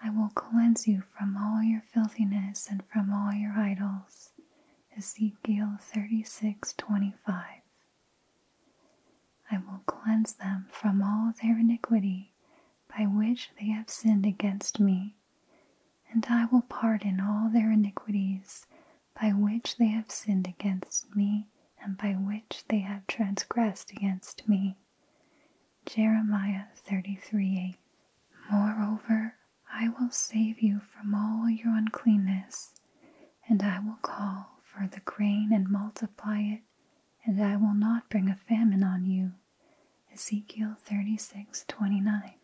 I will cleanse you from all your filthiness and from all your idols. Ezekiel 36:25. I will cleanse them from all their iniquity by which they have sinned against me, and I will pardon all their iniquities by which they have sinned against me, and by which they have transgressed against me. Jeremiah 33 8. Moreover, I will save you from all your uncleanness, and I will call for the grain and multiply it, and I will not bring a famine on you. Ezekiel thirty six twenty nine.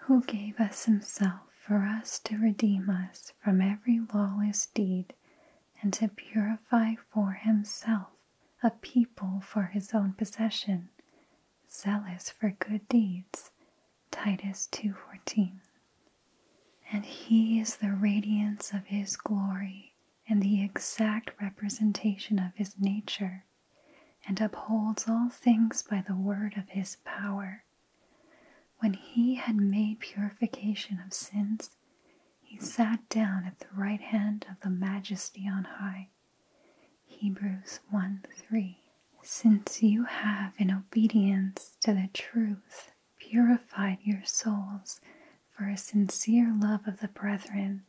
Who gave us himself for us to redeem us from every lawless deed and to purify for himself a people for his own possession, zealous for good deeds. Titus 2:14. And he is the radiance of his glory and the exact representation of his nature, and upholds all things by the word of his power. When he had made purification of sins, he sat down at the right hand of the Majesty on high. Hebrews 1 3. Since you have, in obedience to the truth, purified your souls for a sincere love of the brethren,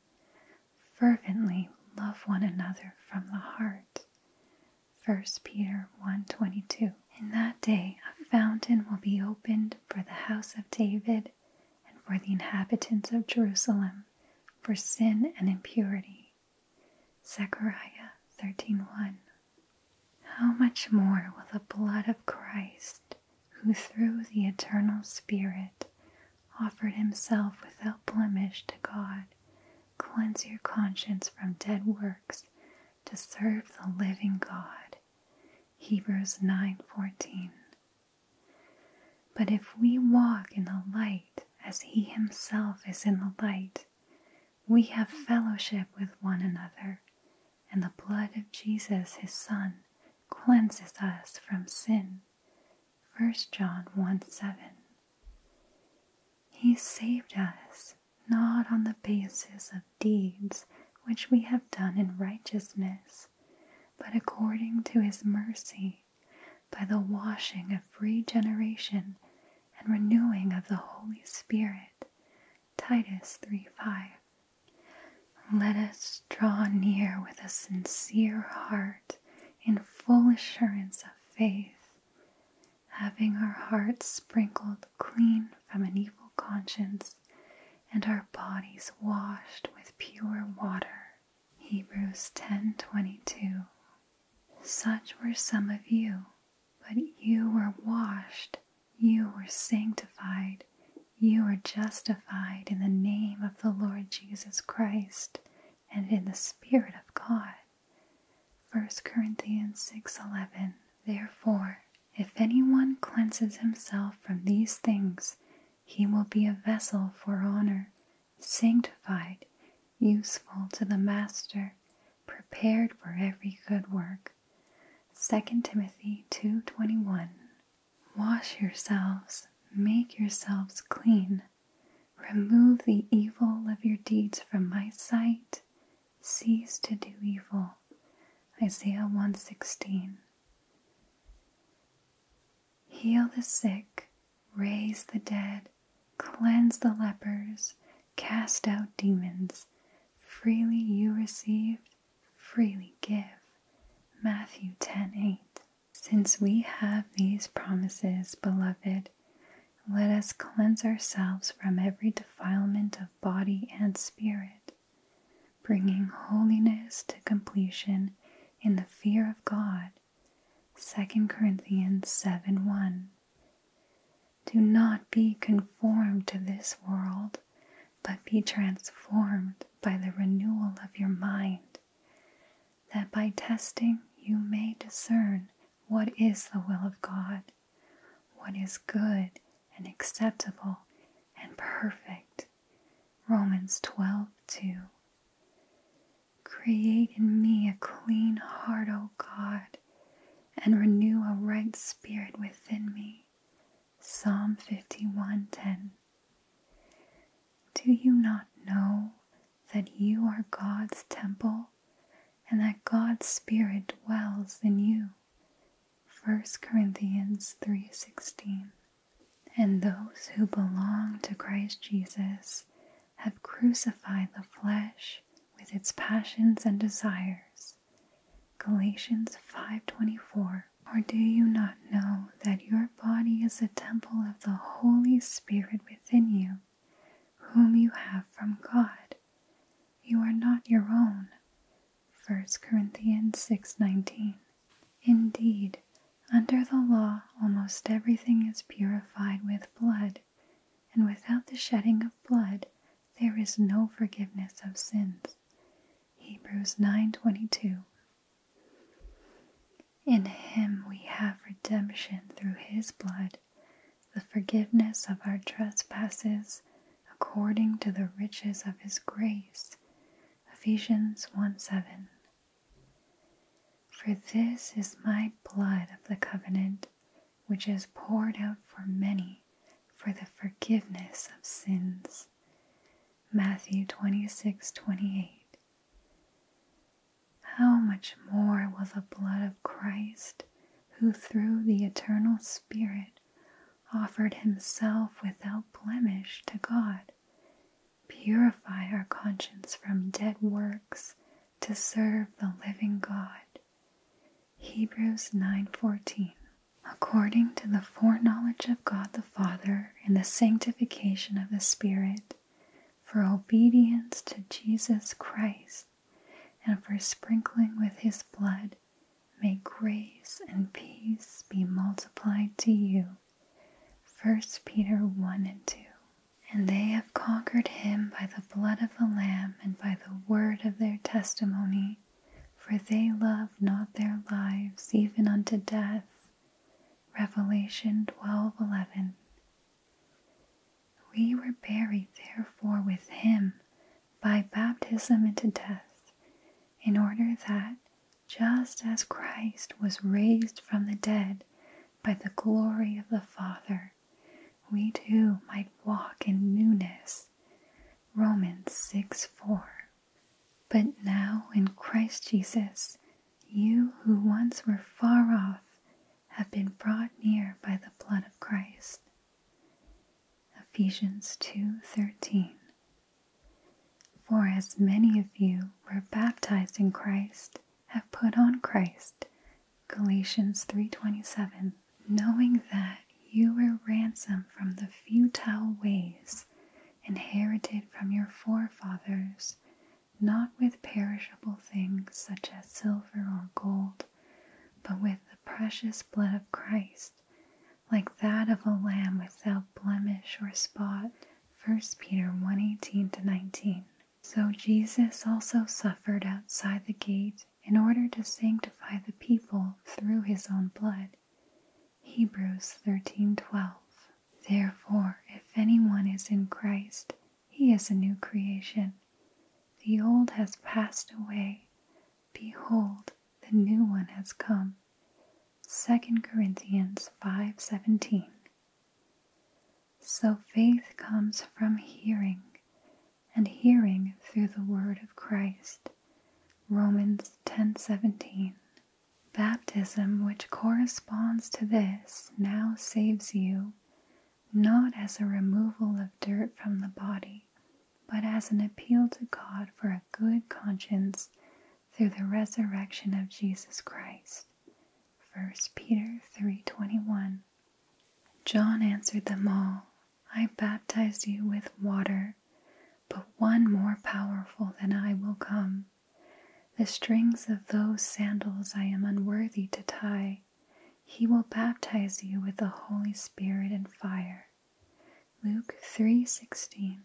fervently love one another from the heart. 1 Peter 1:22 in that day a fountain will be opened for the house of David and for the inhabitants of Jerusalem for sin and impurity. Zechariah thirteen one. How much more will the blood of Christ, who through the eternal Spirit offered himself without blemish to God, cleanse your conscience from dead works to serve the living God. Hebrews 9:14. But if we walk in the light as he himself is in the light, we have fellowship with one another, and the blood of Jesus his son cleanses us from sin. 1 John 1 7. He saved us not on the basis of deeds which we have done in righteousness, but according to his mercy, by the washing of regeneration and renewing of the Holy Spirit. Titus 3 5. Let us draw near with a sincere heart in full assurance of faith, having our hearts sprinkled clean from an evil conscience and our bodies washed with pure water. Hebrews 10:22 Such were some of you, but you were washed, you were sanctified, you were justified in the name of the Lord Jesus Christ and in the spirit of God. 1 Corinthians 6:11 Therefore, if anyone cleanses himself from these things, he will be a vessel for honor, sanctified, useful to the master, prepared for every good work. 2 Timothy 2:21 Wash yourselves, make yourselves clean. Remove the evil of your deeds from my sight cease to do evil. Isaiah 116. Heal the sick, raise the dead, cleanse the lepers, cast out demons. Freely you received, freely give. Matthew 10:8. Since we have these promises, beloved, let us cleanse ourselves from every defilement of body and spirit, bringing holiness to completion in the fear of God. 2 Corinthians 7 1. Do not be conformed to this world, but be transformed by the renewal of your mind, that by testing you may discern what is the will of God what is good and acceptable and perfect. Romans twelve two. Create in me a clean heart, O God, and renew a right spirit within me. Psalm 51:10. Do you not know that you are God's temple and that God's spirit dwells in you? 1 Corinthians 3:16 And those who belong to Christ Jesus have crucified the flesh with its passions and desires. Galatians 5:24 Or do you not know that your body is a temple of the Holy Spirit within you, whom you have from God? You are not your own. 1 Corinthians 6:19 Indeed under the law almost everything is purified with blood and without the shedding of blood there is no forgiveness of sins Hebrews 9:22 In him we have redemption through his blood the forgiveness of our trespasses according to the riches of his grace. Ephesians 1 7. For this is my blood of the covenant, which is poured out for many for the forgiveness of sins. Matthew twenty six twenty eight. How much more will the blood of Christ, who through the eternal Spirit offered himself without blemish to God. Purify our conscience from dead works to serve the living God. Hebrews 9:14 According to the foreknowledge of God the Father in the sanctification of the Spirit, for obedience to Jesus Christ and for sprinkling with his blood, may grace and peace be multiplied to you. 1 Peter 1 and 2. And they have conquered him by the blood of the Lamb and by the word of their testimony, for they love not their lives even unto death. Revelation 12:11. We were buried therefore with him by baptism into death, in order that, just as Christ was raised from the dead by the glory of the Father, we too might walk in newness. Romans 6 4. But now in Christ Jesus, you who once were far off have been brought near by the blood of Christ. Ephesians 2:13 For as many of you were baptized in Christ have put on Christ Galatians 3:27 knowing that you were ransomed from the futile ways inherited from your forefathers not with perishable things such as silver or gold but with precious blood of Christ, like that of a lamb without blemish or spot. 1 Peter 1 18 19. So Jesus also suffered outside the gate in order to sanctify the people through his own blood. Hebrews 13:12. Therefore, if anyone is in Christ, he is a new creation. The old has passed away Behold, the new one has come. 2 Corinthians 5:17. So faith comes from hearing, and hearing through the word of Christ. Romans 10:17. Baptism which corresponds to this now saves you, not as a removal of dirt from the body, but as an appeal to God for a good conscience through the resurrection of Jesus Christ. First Peter 3:21 John answered them all, I baptize you with water, but one more powerful than I will come. The strings of those sandals I am unworthy to tie. He will baptize you with the Holy Spirit and fire. Luke 3:16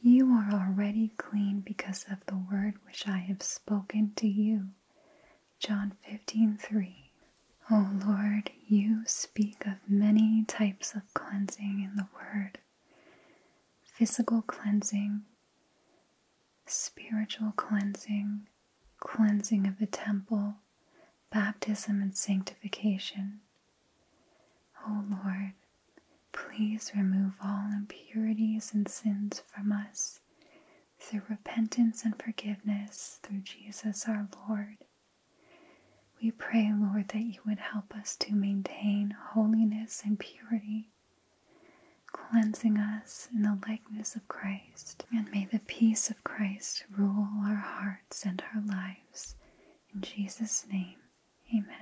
You are already clean because of the word which I have spoken to you. John 15:3 O Lord, you speak of many types of cleansing in the word. Physical cleansing, spiritual cleansing, cleansing of the temple, baptism and sanctification. O Lord, please remove all impurities and sins from us through repentance and forgiveness through Jesus our Lord. We pray, Lord, that you would help us to maintain holiness and purity, cleansing us in the likeness of Christ. And may the peace of Christ rule our hearts hearts and our lives. In Jesus' name, amen.